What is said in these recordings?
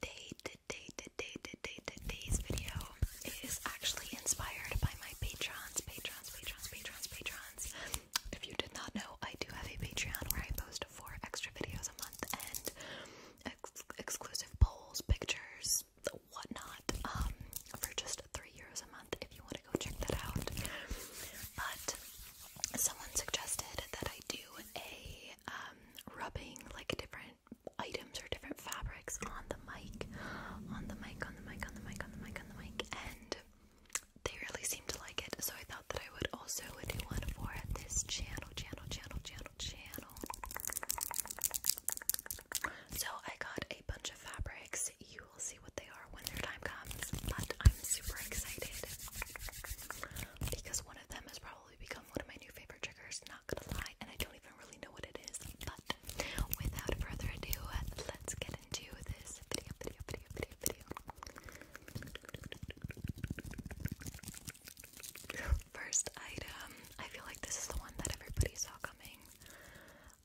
today, today, today, today, today's video is actually inspired by my patrons, patrons, patrons, patrons, patrons. If you did not know, I do have a Patreon where I post four extra videos a month and exclusive polls, pictures, whatnot, um, for just three euros a month. If you want to go check that out, but someone suggested that I do a um, rubbing like different items or different fabrics on the mic, on the mic, on the mic, on the mic, on the mic, on the mic, and they really seem to like it. So I thought that I would also do one for this channel, channel, channel, channel, channel. So I got a bunch of fabrics. You will see what they are when their time comes, but I'm super excited because one of them is probably become one of my new favorite triggers, not gonna lie, and I don't even really know what it is. But without further ado, let's get into this video, video, video, video, video. First item, I feel like this is the one that everybody saw coming.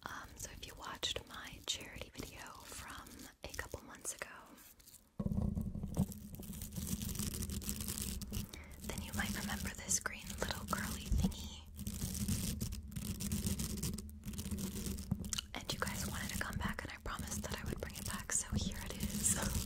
Um, so if you watched my charity video from a couple months ago, then you might remember this green little curly thingy. And you guys wanted to come back, and I promised that I would bring it back, so here it is.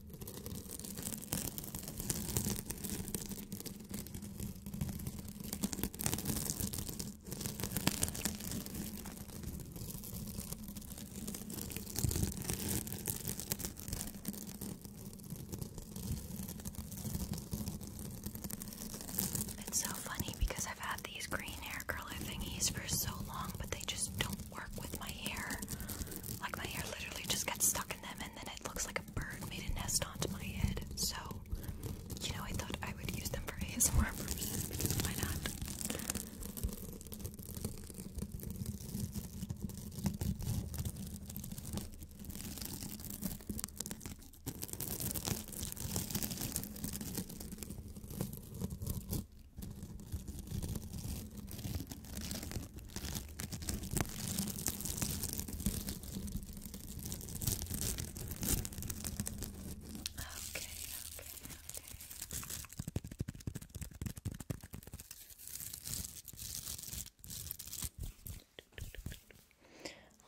It's so funny because I've had these green hair curling thingies for so long, but they just don't work with my hair. Like my hair literally just gets stuck in them and then it looks like a bird made a nest onto my head, so you know I thought I would use them for ASMR purposes because why not? okay, okay.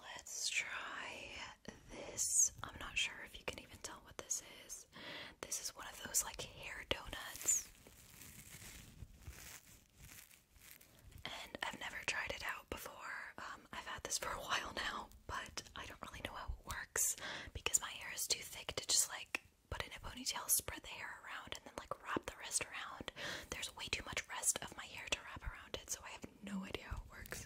Let's try this. I'm not sure if you can even tell what this is. This is one of those like hair donuts and I've never tried it out before. Um, I've had this for a while now, but I don't really know how it works because my hair is too thick to just like put in a ponytail, spread the hair around, and then like wrap the rest around. There's way too much rest of my hair to wrap around it, so I have no idea how it works.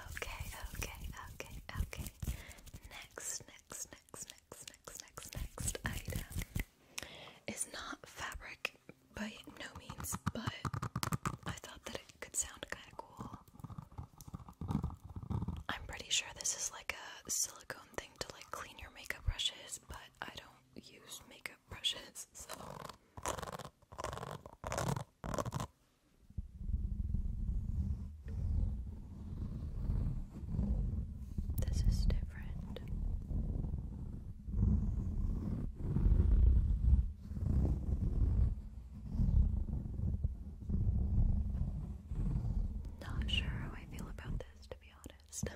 Okay, okay, okay, okay. Next, next, next, next, next, next, next item is not fabric by no means, but I thought that it could sound kind of cool. I'm pretty sure this is like a silicone thing to like clean your makeup brushes, but I don't use makeup brushes, so. This is different. Not sure how I feel about this, to be honest.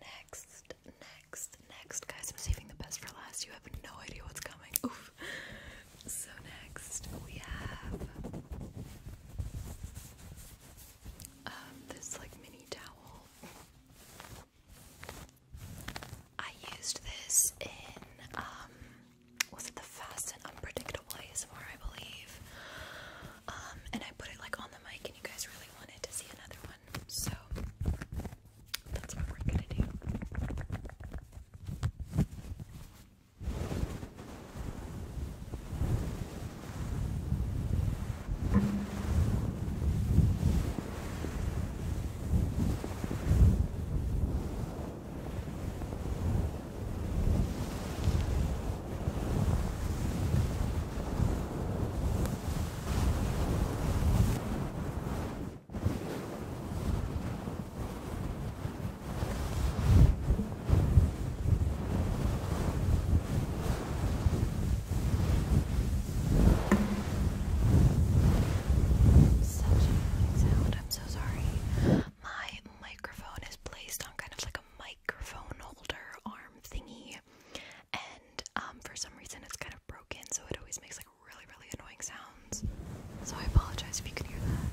next, next, next. Guys, I'm saving the best for last. You have no idea what's coming. So, next, we have um, this like mini towel. I used this in, um, was it the Fast and Unpredictable ASMR, I believe? Um, and I put it like on the mic, and you guys really wanted to see another so that's what we're gonna do. Such a sound. I'm so sorry. My microphone is placed on kind of like a microphone holder arm thingy, and um, for some reason it's kind of broken, so it always makes like really, really annoying sounds. So I apologize if you can hear that.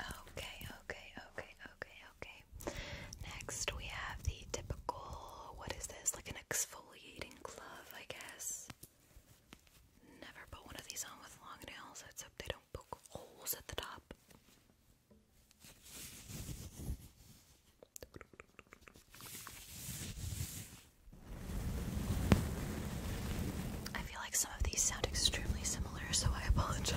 Okay, okay, okay, okay, okay. Next, we have the typical, what is this? Like an exfoliating glove, I guess. Never put one of these on with long nails, except they don't poke holes at the top. I feel like some of these sound extremely similar, so I apologize.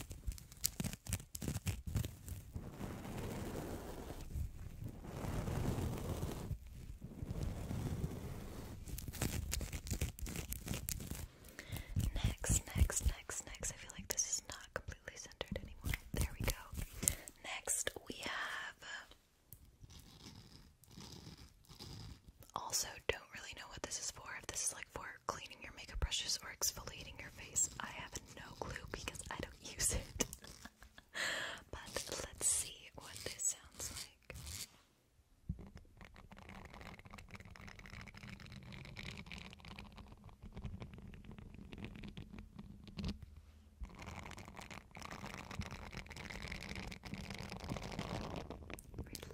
Next, next, next, next. I feel like this is not completely centered anymore. There we go. Next, we have. Also, don't really know what this is for. If this is like for or cleaning your makeup brushes or exfoliating your face. I have no clue because I don't use it. but let's see what this sounds like.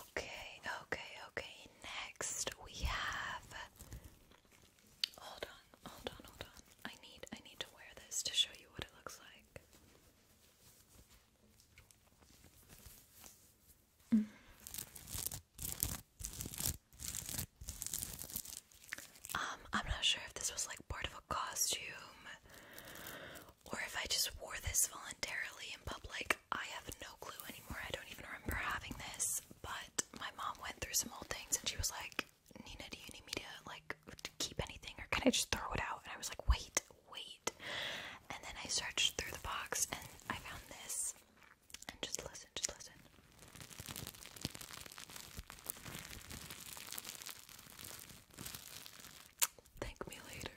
Okay, okay, okay. Next we have Hold on, hold on, hold on. I need I need to wear this to show you what it looks like. Um, I'm not sure if this was like part of a costume or if I just wore this voluntarily in public. I have no clue anymore. I don't even remember having this, but my mom went through some old things and she was like, Nina, do you need me to like keep anything or can I just throw it out? And I was like, wait, wait. And then I searched through the box and I found this. And just listen, just listen. Thank me later.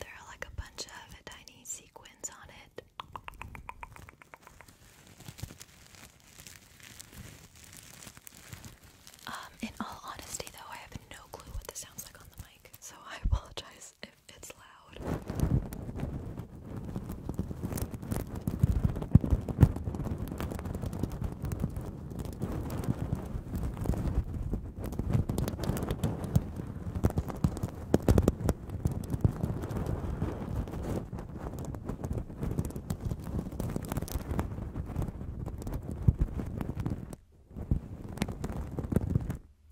there are like a bunch of tiny sequins on it. Um, in all honesty, though, I have no clue what this sounds like on the mic, so I apologize it's loud.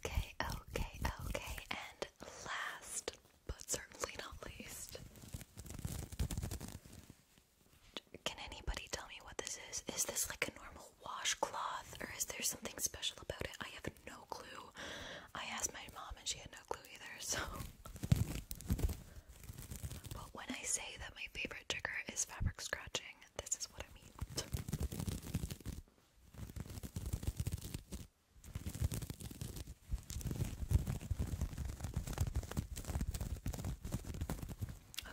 Okay, okay, okay, and last but certainly not least. Can anybody tell me what this is? Is this like a normal washcloth or is there something special about it? I have no clue. I asked my mom and she had no clue either, so. But when I say that my favorite trigger is fabric scratching, this is what I mean.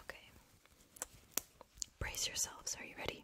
Okay. Brace yourselves. Are you ready?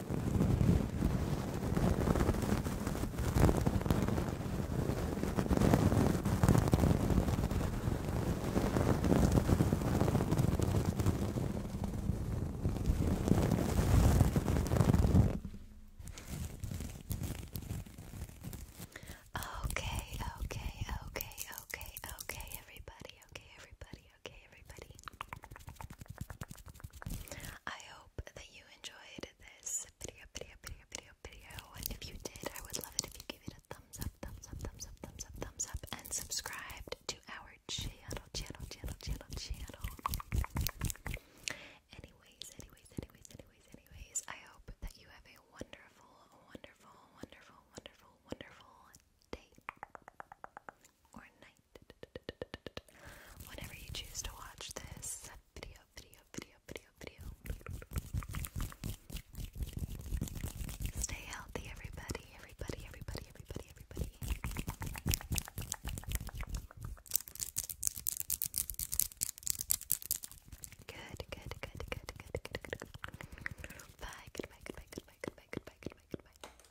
Okay, okay, okay, okay, okay, everybody, okay, everybody, okay, everybody? I hope that you enjoyed this video, video, video, video, video. And if you did, I would love it if you gave it a thumbs up, thumbs up, thumbs up, thumbs up, thumbs up, and subscribed to our channel, channel, channel, channel, channel. Anyways, anyways, anyways, anyways, anyways, I hope that you have a wonderful, wonderful, wonderful, wonderful, wonderful day or night. Whenever you choose to watch this video, video, video, video, video. Stay healthy, everybody, everybody, everybody, everybody, everybody. Good, good, good, good, good, good, good. Bye, goodbye, goodbye, goodbye, goodbye, goodbye, goodbye, goodbye.